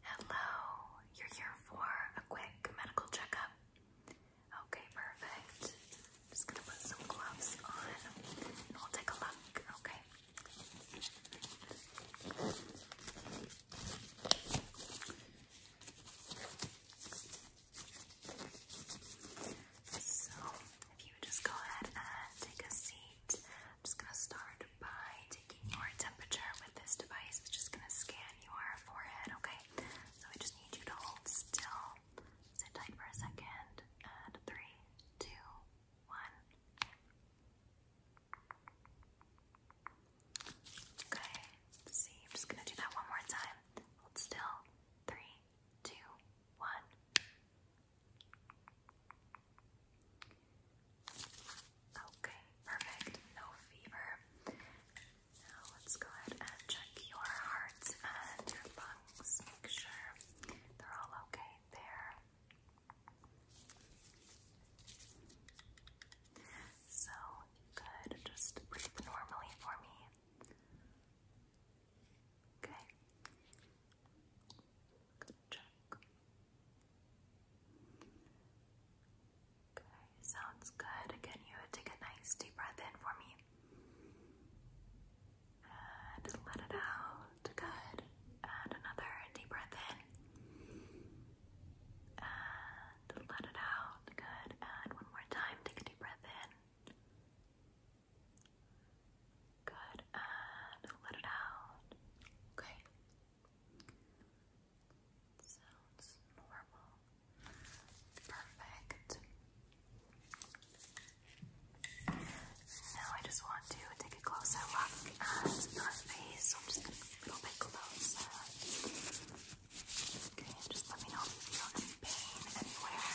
Hello, you're here for a quick medical checkup. Okay, perfect. just gonna put some gloves on and we'll take a look, okay? So, if you just go ahead and take a seat, I'm just gonna start by taking your temperature with this device. It's just going to scan your forehead, okay? So I just need you to hold still. Sit tight for a second. And three, two, one. Okay, see. I'm just going to do that one more time. Hold still. Three, two, one. Okay, perfect. No fever. Now let's go ahead and check your hearts and your lungs. Make sure they're all okay there. So, good. Just breathe normally for me. Okay. Okay, sounds good. Can you take a nice deep breath in for me? And let it out. Good. And another deep breath in. And let it out. Good. And one more time. Take a deep breath in. Good. And let it out. Okay. Sounds normal. Perfect. Now I just want to take a closer look at your face. So I'm just going to a little bit closer. Okay, just let me know if you feel any pain anywhere.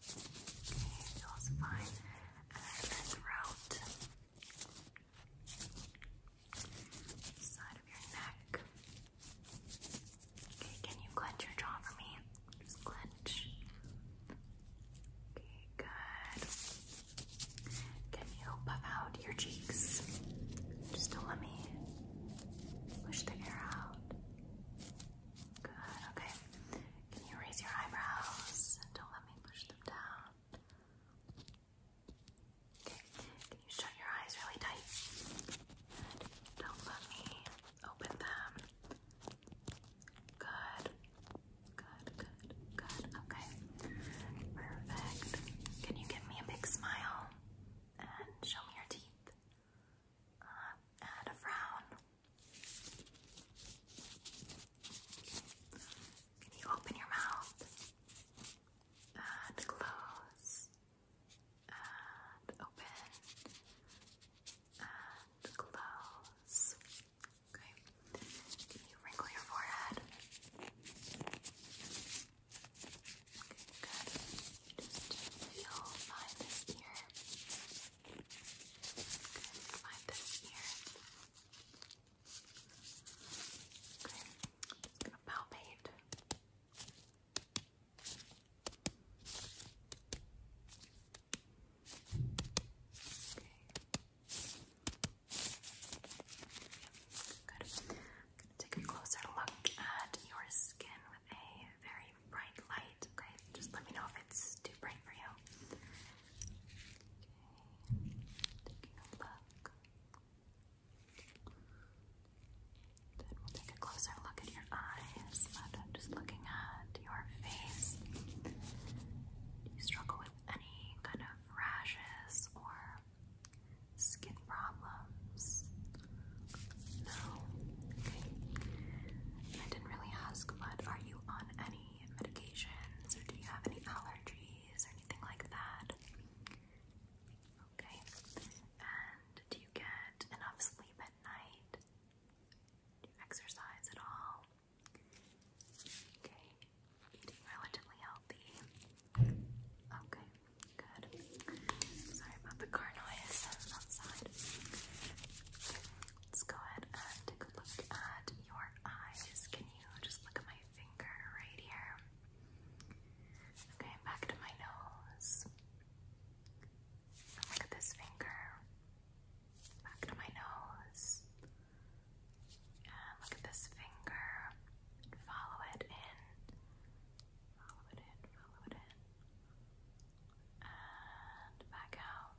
These also fine. And then side of your neck. Okay, can you clench your jaw for me? Just clench. Okay, good. Can you puff out your cheeks? Just do let me Push the air out. Good, okay. Can you raise your eyebrows don't let me push them down? Okay, can you shut your eyes really tight? don't let me open them. Good, good, good, good. Okay, perfect. Can you give me a big smile? and show me your teeth. Uh, a frown. Can you open your mouth? And close. And open. And close. Okay. Can you wrinkle your forehead? Good. Just feel by this Good. By this ear. Okay. Just palpate. Okay. Good take a closer look at your skin with a very bright light. Okay, just let me know if it's too bright for you. Okay, taking a look. Then we'll take a closer look at your eyes, just looking at your face. Do you struggle with any kind of rashes or skin problems? No. Okay. I didn't really ask, but are you on any medications or do you have any allergies or anything like that? Okay. And do you get enough sleep at night? Do you exercise at all? Okay. Eating relatively healthy. Okay, good. I'm sorry about the car noise outside. Let's go ahead and take a look at your eyes. Can you just look at my finger right here? Okay, back to my nose. Look at this finger. Back to my nose. And look at this finger follow it in. Follow it in, follow it in. And back out.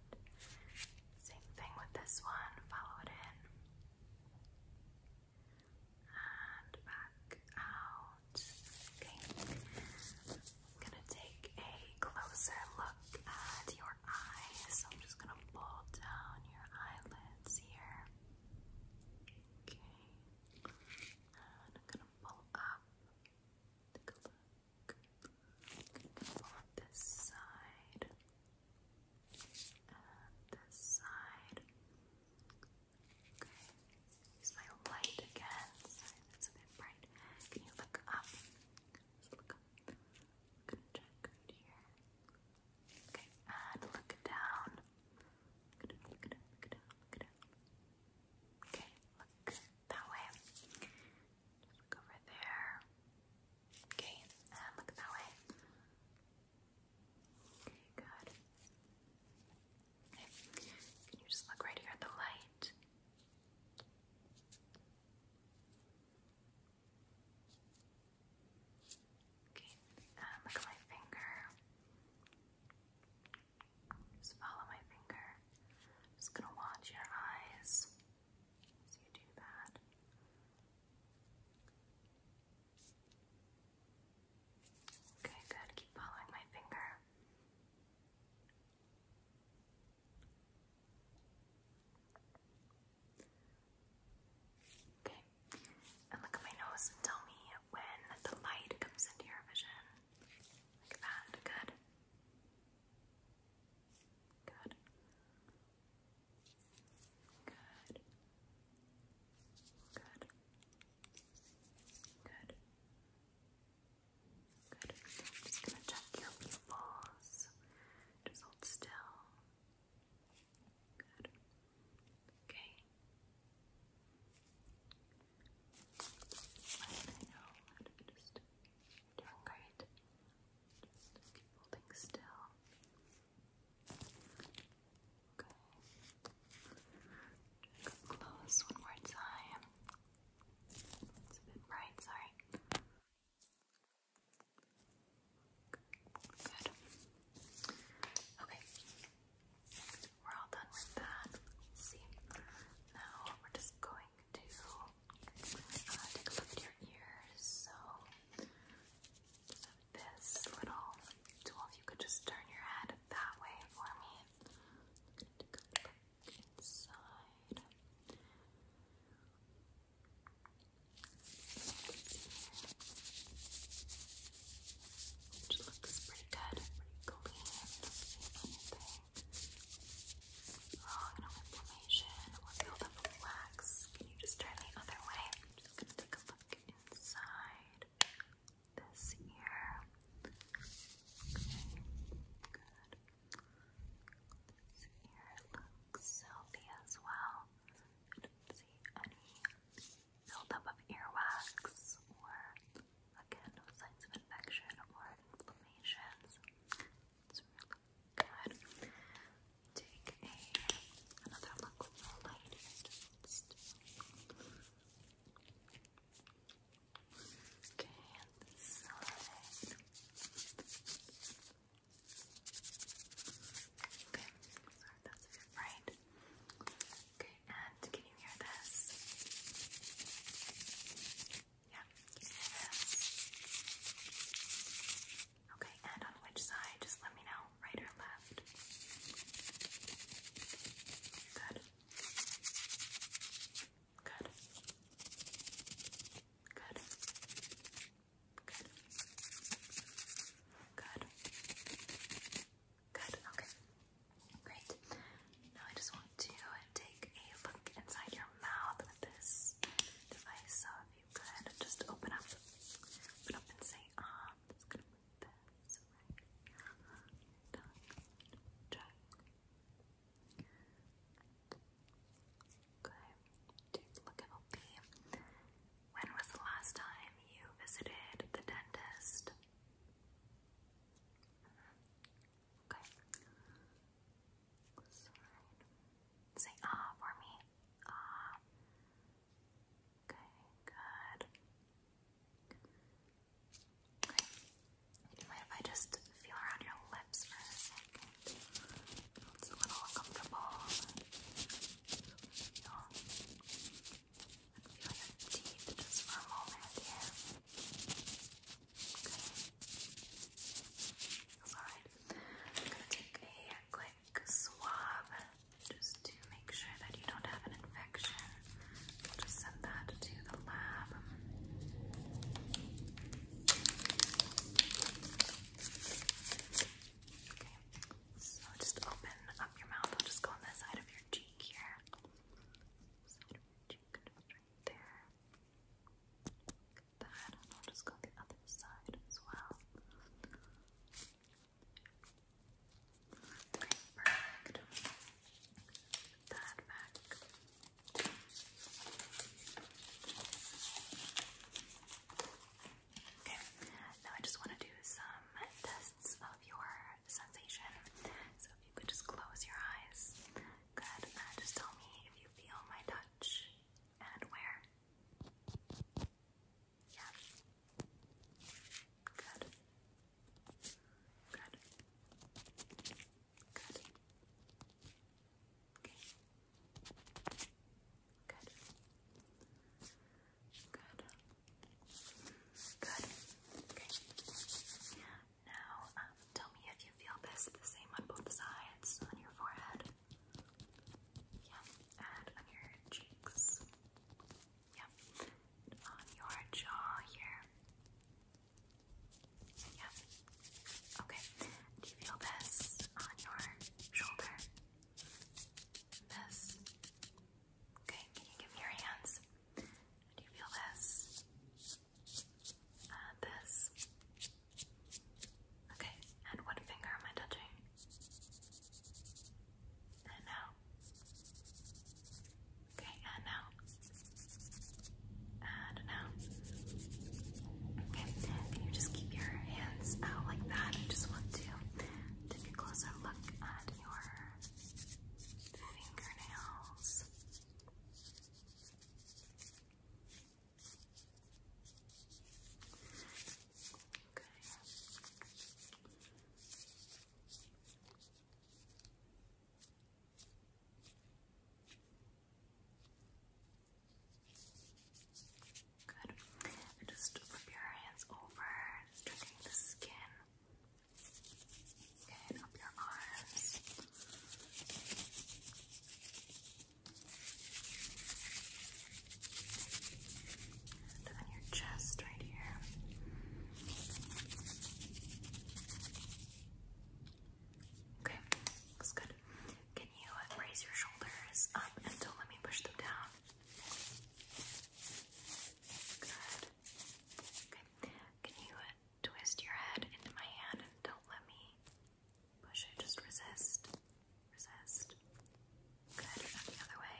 Same thing with this one. Follow it in. And back out. Okay. I'm gonna take a closer look at your eyes. So I'm just gonna pull down your eyelids here. Okay. And I'm gonna pull up. Take a look. pull up this side this side. Okay, use my light again. Sorry, a bit bright. Can you look up? look up. gonna check right here. Okay, and look down. Okay, look that way. look over there. Okay, and look that way. Okay, good. Okay. Can you just look right here at the light? Okay, um, look at my finger. Just follow my finger. I'm just gonna watch your eyes as you do that. Okay, good. Keep following my finger. Okay. And look at my nose and tell me when the light comes into your vision. Look at that. Good. Good. Good. Good. Good. Good. just gonna check your pupils. Just hold still. Good. Okay. Let know just you doing great. Just keep holding still. Okay. Come close one more time. It's a bit bright, sorry. Good. Okay. We're all done with that. see. Now we're just going to uh, take a look at your ears. So this little tool. If you could just turn your head that way for me. Which looks pretty good, pretty clean. no inflammation or build of wax. Can you just turn the other way? just gonna take a look inside this ear. good. This ear looks healthy as well. see any buildup of earwax or again no signs of infection or inflammations. It's good. Take another look Okay, and this side. Okay, sorry, that's it, right. Okay, and can you hear this? Yeah, can you hear this? Okay, and on which side? Just let me know, right or left. Good. Good. Good. Good. Good. Okay. Great. Now I just want to take a look inside your mouth with this device. So if you could just open up, open up and say, um, ah, Okay. Just When was the last time you visited the dentist? Okay. Say ah for me. Ah. Okay, good. Okay. Do if I just feel around your lips for a second? It's a little uncomfortable feel, I'm gonna take a quick swab just to make sure that you don't have an infection. just send that to the lab. So just open up your mouth. I'll just go on the side of your cheek here. there. Like I'll just go the other side as well. perfect. Put that back. Okay, now I just want to do some tests of your sensation. So if you could just close your eyes. Good. just tell me if you feel my touch and where. Yeah. Good. Good. Good. Okay. Good. Good. Good. Okay. Now, um, tell me if you feel this the same on both sides, on your forehead. Yeah. And your cheeks. Yeah. on your jaw here. Yeah. Okay. Do you feel this on your shoulder? This. Okay, can you give me your hands? Do you feel this? Uh, this. Okay, and what finger am I touching? And now. Okay, and now. And now. Okay, can you just keep your hands out like that? I just want to take a closer look at your fingernails. Okay. Good. And just flip your hands over, just checking the skin. Okay, up your arms. then your chest right here. Okay, looks good. Can you raise your shoulders up and let me push them down? Can you twist your head into my hand don't let me push it? Just resist. Resist. Good. And the other way.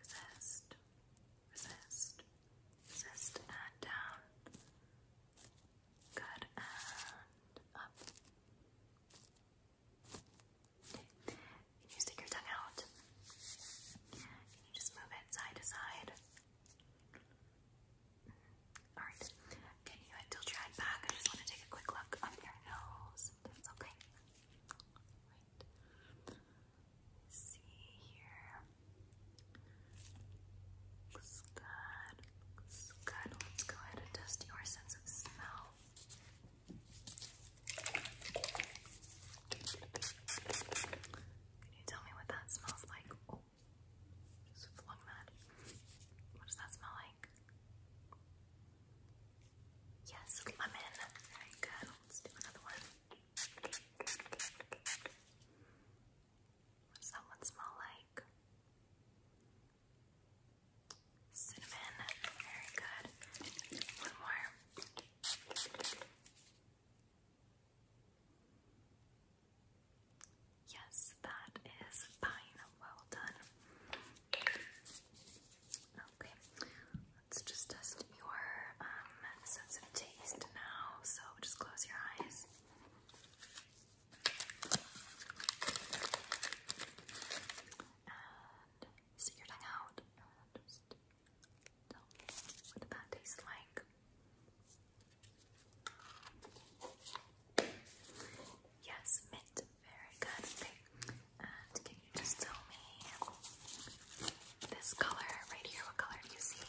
Resist. Resist. Resist. And down. Good. And up. Can you stick your tongue out? Can you just move it side to side? Mm-hmm. Alright. Can you tilt your head back? I just want to take a quick look up your nose. That's okay. See here. Looks good. Looks good. Let's go ahead and test your sense of smell. Can you tell me what that smells like? Oh, flung that. What does that smell like? Yes, lemon. Very good. Let's do another one. What does that one smell like? Cinnamon, very good. One more. Yes, that is fine. Well done. Okay, let's just test your um, sense of taste now. So just close your eyes and stick your tongue out just tell me what that tastes like. Yes, mint, very good. and can you just tell me this color right here? What color do you see?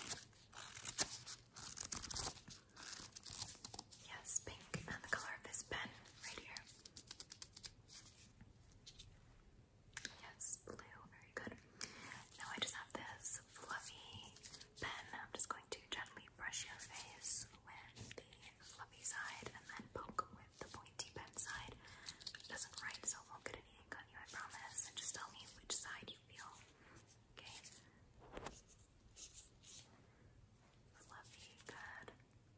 Yes, pink, and the color of this pen right here. Yes, blue, very good. Now I just have this fluffy pen. I'm just going to gently brush your face with the fluffy side and then poke with the pointy pen side. doesn't write, so won't get any on you, I promise. And just tell me which side you feel. Okay. Fluffy, good.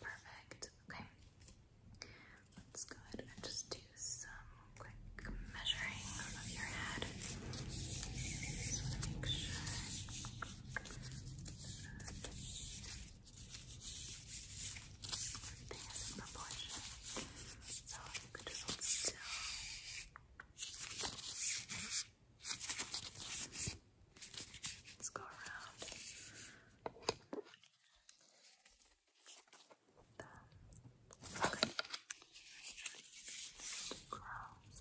Perfect. Okay. Let's go ahead and just do some quick measuring of your head. Just want to make sure. Everything is in proportion. So you could just Let's go around. Um, okay.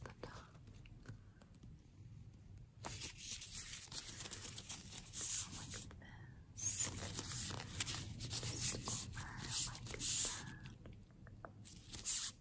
the tongue. like this. Just over like that.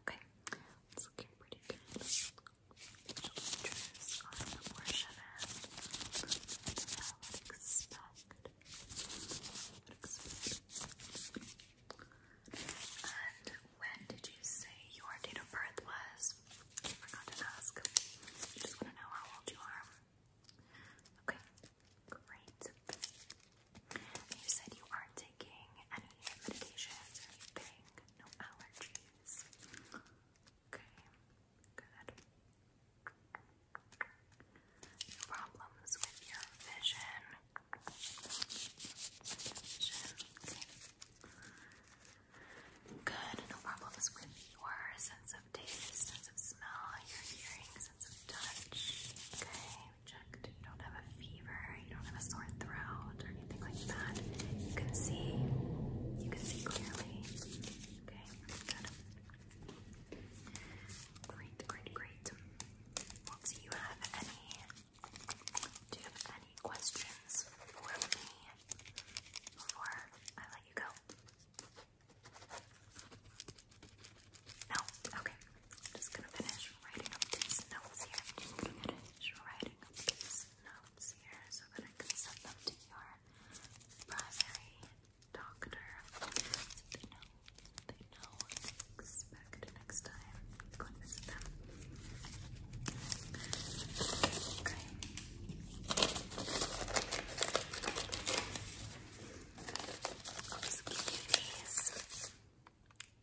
Okay, it's looking pretty good. Shoulders are proportionate to what I would And when did you say your date of birth was? forgot to ask. just want to know how old you are. Okay, great. You said you aren't taking any medications or anything, no allergies. Okay, good. No problems with your vision. Vision, Good, no problems with your sense of taste, sense of smell, your hearing, sense of touch. Okay, you don't have a fever. You don't have a sore throat or anything like that. You can see. You can see clearly. Okay, good. Great, great, great. any? Do you have any questions for me before I let you go? No. Okay. I'm just gonna finish writing up these notes here. just writing up these notes here so that I can send them to your primary doctor. they know they know what to expect next time. Go and visit them. Okay. I'll just give you these.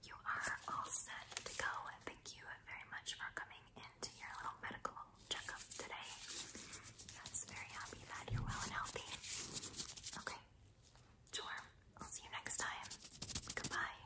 You are all set to go. Thank you very much for coming into your little medical checkup today. very happy that you're well and healthy. Okay, sure. I'll see you next time. Goodbye.